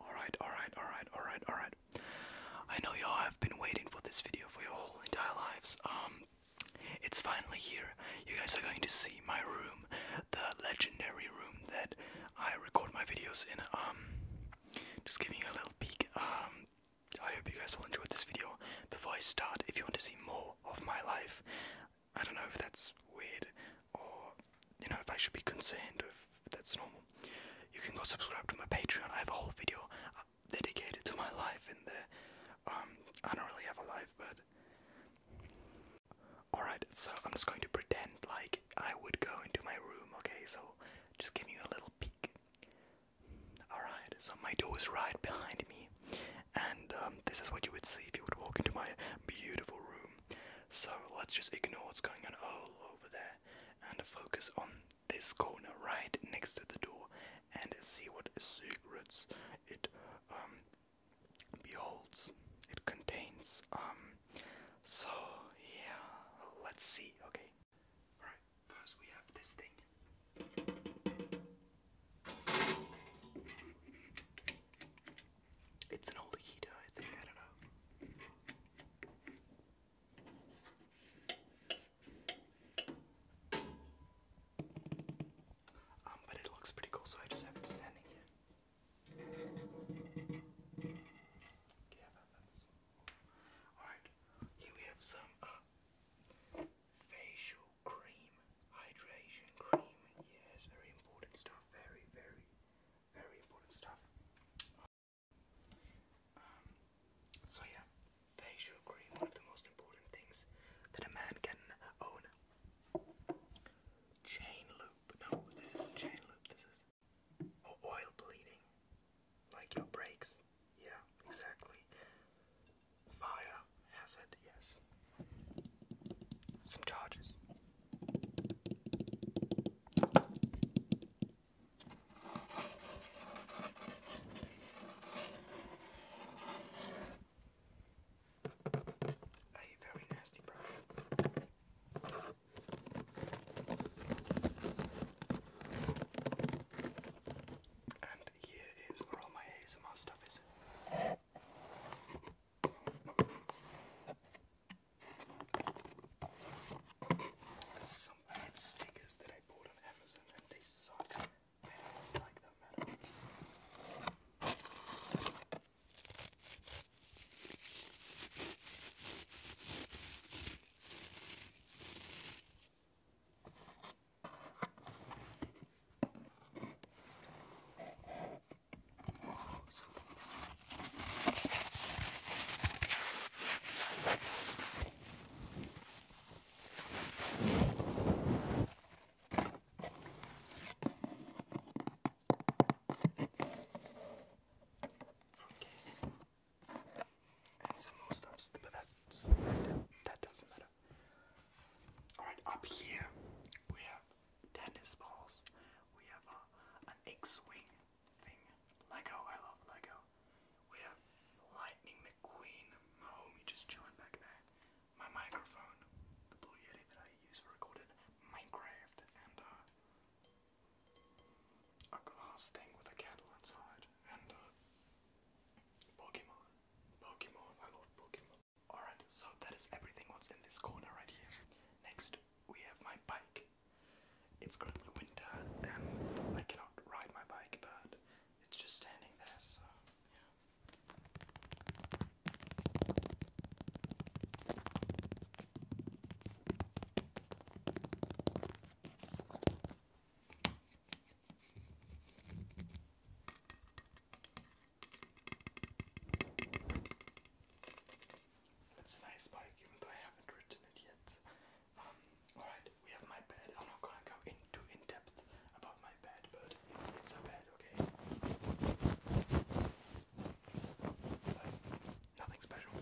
Alright, alright, alright, alright, alright. I know y'all have been waiting for this video for your whole entire lives. Um, it's finally here. You guys are going to see my room, the legendary room that I record my videos in. Um, just giving you a little peek. Um, I hope you guys will enjoy this video. Before I start, if you want to see more of my life, I don't know if that's weird or you know if I should be concerned if that's normal. You can go subscribe to my Patreon. I have a whole video uh, dedicated to my life in there. Um, I don't really have a life, but alright. So I'm just going to pretend like I would go into my room. Okay, so just giving you a little peek. Alright, so my door is right behind me, and um, this is what you would see if you would walk into my beautiful room. So let's just ignore what's going on all over there and focus on this corner right next to the door and see what secrets it um beholds. It contains. Um, so yeah, let's see, okay. Alright, first we have this thing. It's an old Aikido, I think. I don't know. Um, but it looks pretty cool, so I just have it standing here. Yeah, that's alright. Here we have some uh, facial cream, hydration cream. Yes, very important stuff. Very, very, very important stuff. Um, so yeah, facial cream, one of the most important things that a man can own. Chain loop. No, this isn't chain loop, this is oil bleeding. Like your brakes. Yeah, exactly. Fire hazard, yes. Some charges. A very nasty brush. And here is where all my ASMR stuff is. There's some weird stickers that I bought on Amazon and they suck. I don't like them at all cases and some more stuff, but that's, that doesn't matter. Alright, up here we have tennis balls, we have uh, an X-wing, Lego, I love Lego. We have Lightning McQueen, my homie just chilling back there. My microphone, the Blue Yeti that I use for recorded Minecraft, and uh, a glass thing with a kettle inside, and uh, Pokemon. Pokemon, I love Pokemon. Alright, so that is everything what's in this corner right here. Next, we have my bike. It's currently winter and I cannot ride my bike, but it's just standing there, so yeah. It's a nice bike, even though I haven't ridden it yet. Um, alright, we have my bed. I'm not gonna go into in depth about my bed, but it's it's a bed, okay? nothing special.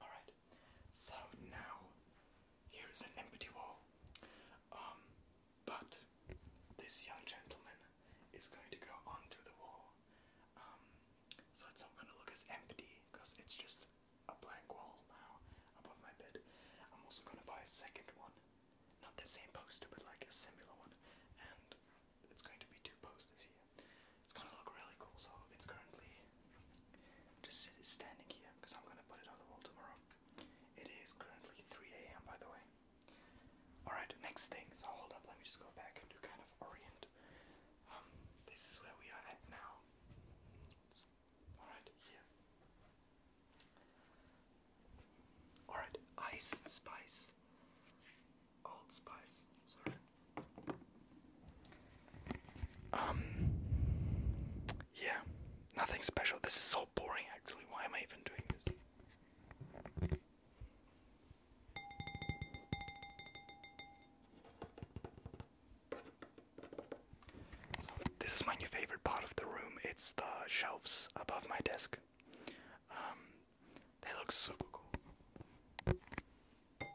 Alright, so now here is an empty wall. Um, but this young gentleman is going to go onto the wall. Um, so it's not going to look as empty because it's just a blank wall now above my bed. I'm also going to buy a second one. Not the same poster, but like a similar one. And it's going to be two posters here. It's gonna look really cool. So it's currently just standing here because I'm gonna put it on the wall tomorrow. It is currently 3 a.m. by the way. Alright, next thing. So hold up, let me just go back and do kind of orient. Um, this is where we are at now. alright here. Alright, ice, spice, old spice, sorry. Um, yeah, nothing special. This is so boring, actually. Why am I even doing this? this is my new favorite part of the room. It's the shelves above my desk. Um, they look super cool. No.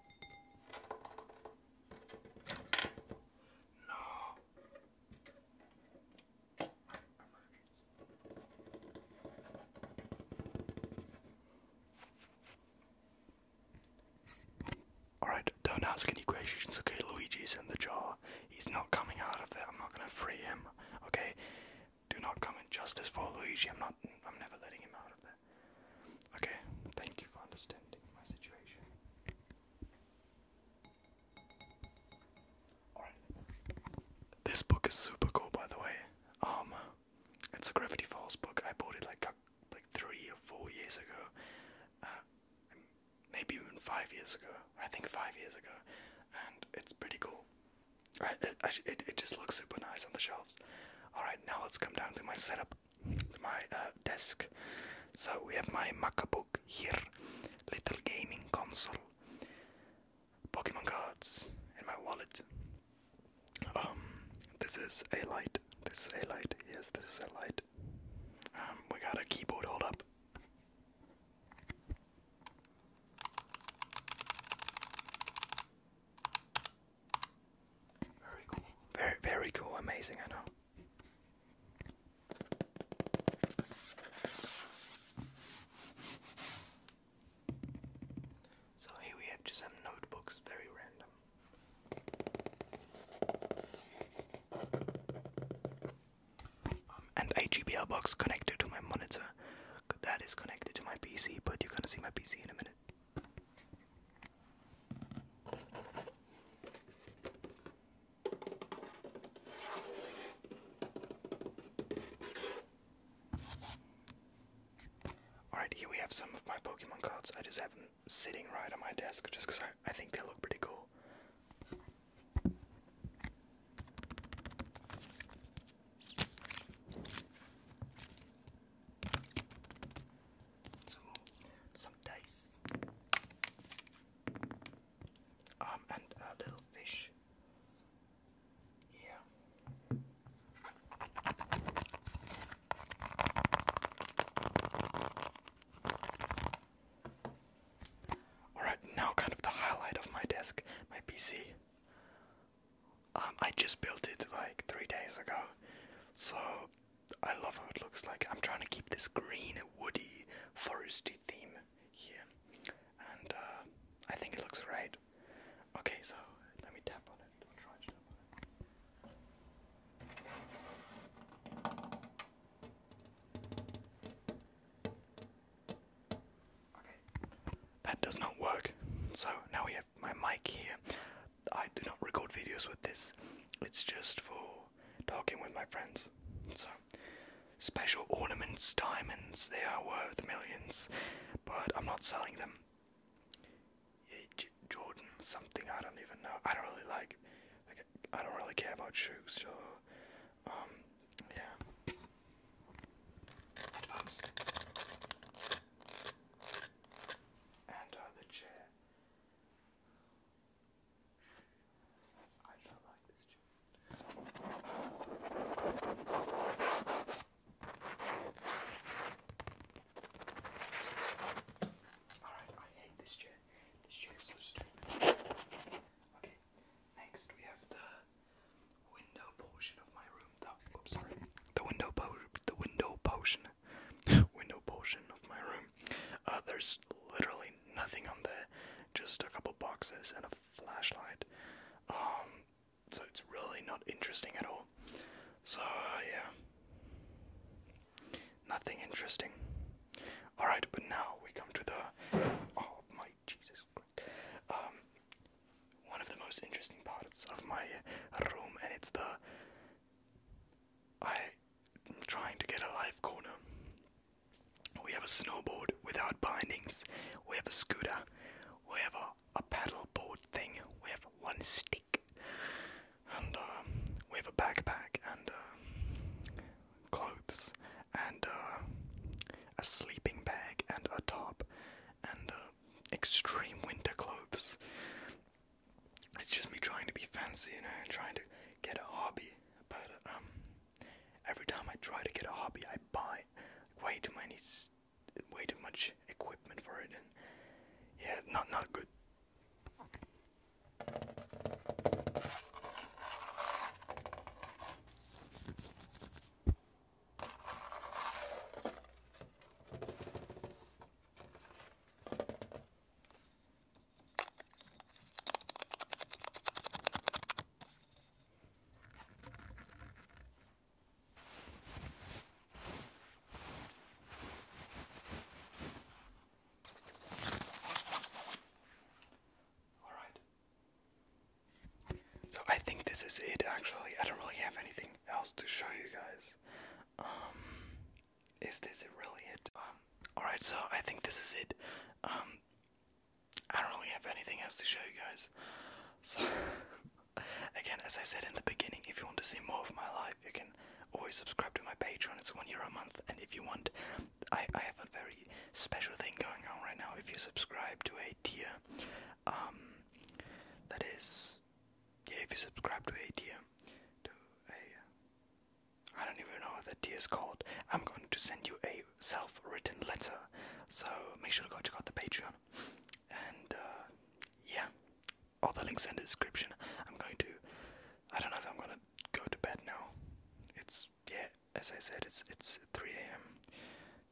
Alright, don't ask any questions, okay? Luigi's in the jar. He's not coming out of there. I'm not gonna free him, okay? Do not come in justice for Luigi. I'm not. I'm never letting him out of there. Okay, thank you for understanding my situation. Alright. This book is super cool by the way. Um it's a Gravity Falls book. I bought it like like three or four years ago. Uh, maybe even five years ago. I think five years ago. And it's pretty cool. Right, it, it, it just looks super nice on the shelves. Alright, now let's come down to my setup my uh, desk. So we have my MacBook here, little gaming console, Pokemon cards, in my wallet. Um, this is a light. This is a light. Yes, this is a light. Um, we got a keyboard hold up. Very cool. Very, very cool. Amazing, I know. So here we have just some notebooks, very random. Um, and a box connected to my monitor. That is connected to my PC, but you're gonna see my PC in a minute. Alright, here we have some of my Pokemon cards. I just have them sitting right on my desk just because I, I think they look pretty cool some some dice, um, and a little fish. Yeah. Alright, now kind of the highlight of my desk, my PC. Um, I just built it like three days ago, so I love how it looks like. I'm trying to keep this green, woody, foresty theme here, and uh, I think it looks right. Okay, so let me tap on it. I'll try to tap on it. Okay, that does not work. So now we have my mic here. I do not record videos with this. It's just for talking with my friends. So, special ornaments, diamonds, they are worth millions, but I'm not selling them. Jordan, something I don't even know. I don't really like, like I don't really care about shoes, so, um, yeah. Advanced. And uh, chair. I don't like this chair. Alright, I hate this chair. This chair is so stupid. Okay, next we have the window portion of my room. The, oops, sorry. The window po the window potion. window portion of my room. Uh, there's literally nothing on there, just a couple boxes and a flashlight. Um, so it's really not interesting at all. So uh, yeah, nothing interesting. All right, but now we come to the oh my Jesus. Um, one of the most interesting parts of my room, and it's the I trying to get a life corner. We have a snowboard without bindings. We have a scooter. We have a, paddle board thing. We have one stick. And um, we have a backpack and uh, clothes and uh, a sleeping bag and a top and uh, extreme winter clothes it's just me trying to be fancy, you know, and trying to get a hobby. But um, every time I try to get a hobby, I buy way too many, way too much equipment for it, and yeah, not not good. So I think this is it actually. I don't really have anything else to show you guys. Um, is this really it? Um, alright, so I think this is it. Um, I don't really have anything else to show you guys. So, again, as I said in the beginning, if you want to see more of my life, you can always subscribe to my Patreon. It's one euro a month, and if you want, I, I have a very special thing going on right now. If you subscribe to a tier, um, that is yeah, if you subscribe to a tier, to a, uh, I don't even know what that tier is called. I'm going to send you a self-written letter, so make sure to go check out the Patreon. And uh, yeah, all the links in the description. I'm going to, I don't know if I'm gonna go to bed now. It's yeah, as I said, it's it's 3 a.m.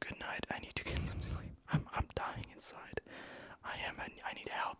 Good night. I need to get some sleep. I'm I'm dying inside. I am. I need help.